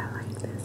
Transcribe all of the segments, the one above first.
I like this.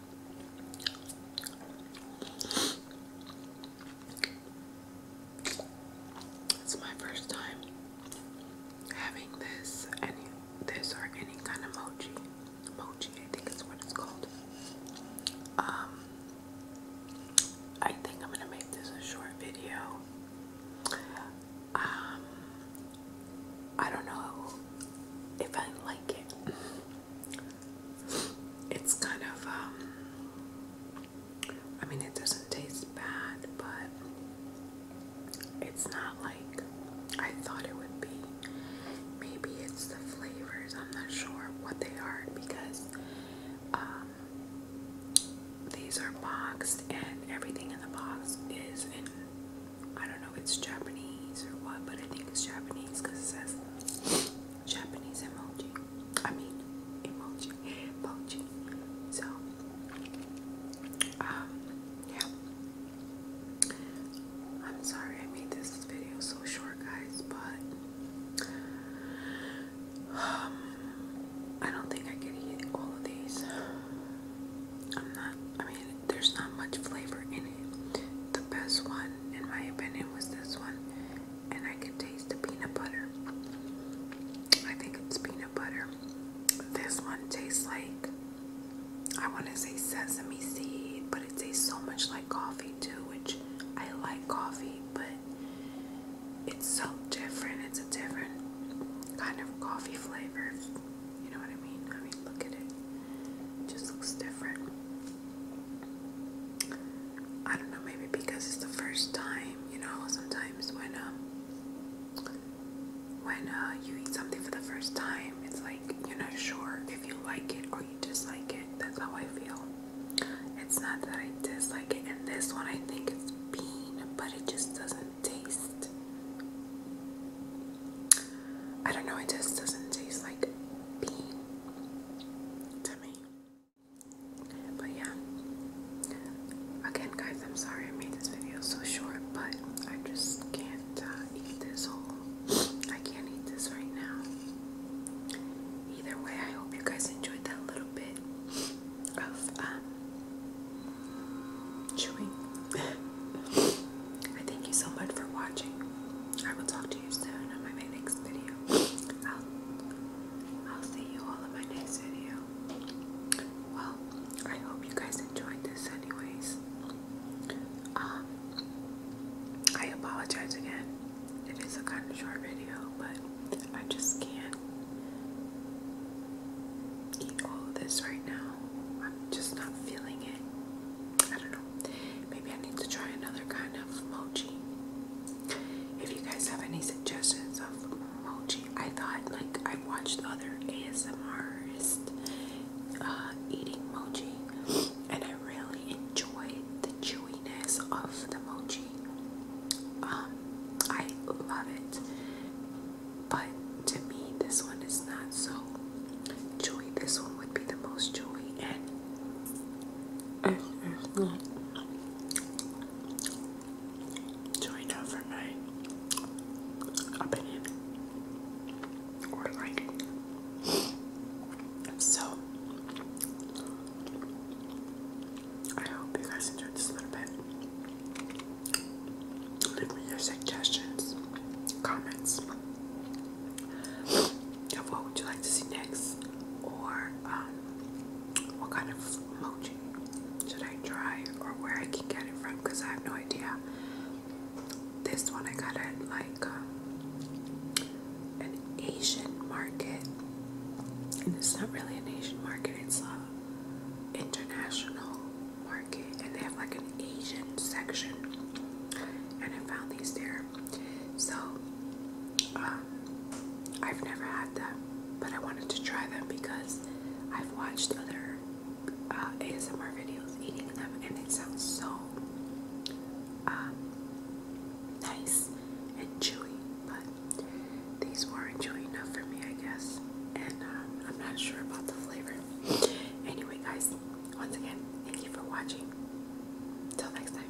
It's my first time having this, any this or any kind of mochi. Mochi, I think is what it's called. Um, I think I'm gonna make this a short video. Um, I don't know if I like it. It's kind of, um, I mean, it doesn't taste bad, but it's not like I thought it would be. Maybe it's the flavors, I'm not sure what they are because um, these are boxed and everything in the box is in I don't know if it's Japanese or what, but I think it's Japanese because it says Japanese emoji. I mean, emoji, emoji. So, um, yeah. I'm sorry I made this video so short, guys, but um, I don't think I can eat all of these. I'm not, I mean, there's not much flavor in it. The best one, in my opinion, was this one. And I can taste the peanut butter. I think it's peanut butter. This one tastes like, I want to say sesame seed, but it tastes so much like coffee too, which I like coffee, but it's so different. It's a different kind of coffee flavor, you know what I mean? I mean, look at it. just looks different. I don't know, maybe because it's the first time, you know, sometimes when um, when uh, you eat something for the first time, it's like you're not sure if you like it or you dislike it. That's how I feel. It's not that I dislike it. And this one, I think it's bean, but it just doesn't taste. I don't know, it just doesn't taste like bean to me. But yeah. Again, guys, I'm sorry I made this video so short, but I just can't uh, eat this whole. I can't eat this right now. Either way, I hope you guys enjoyed that little bit of um, chewing. I thank you so much for watching. I will talk to you soon on my next video. I'll, I'll see you all in my next video. Well, I hope you guys enjoyed this anyways. Um, I apologize again. It is a kind of short video, but I just can't eat all of this right now. I'm just not feeling it. I don't know. Maybe I need to try another kind of mochi. If you guys have any suggestions of mochi, I thought like I watched other ASMRs uh, eating mochi, and I really enjoyed the chewiness of the mochi. Um, I love it. But to me, this one is not so joy. This one would be the most joy, and it's not for my opinion or liking. So, I hope you guys enjoyed this a little bit. Leave me your suggestions, comments. what would you like to see next? Or um, what kind of emoji should I try or where I can get it from? Because I have no idea. This one I got it like um, Asian market, and it's not really an Asian market, it's a international market, and they have like an Asian section, and I found these there. So, um, I've never had them, but I wanted to try them because I've watched other uh, ASMR videos eating them, and it sounds so um, nice and chewy. But these weren't chewy enough for me, I guess. And um, I'm not sure about the flavor. Anyway, guys, once again, thank you for watching. Till next time.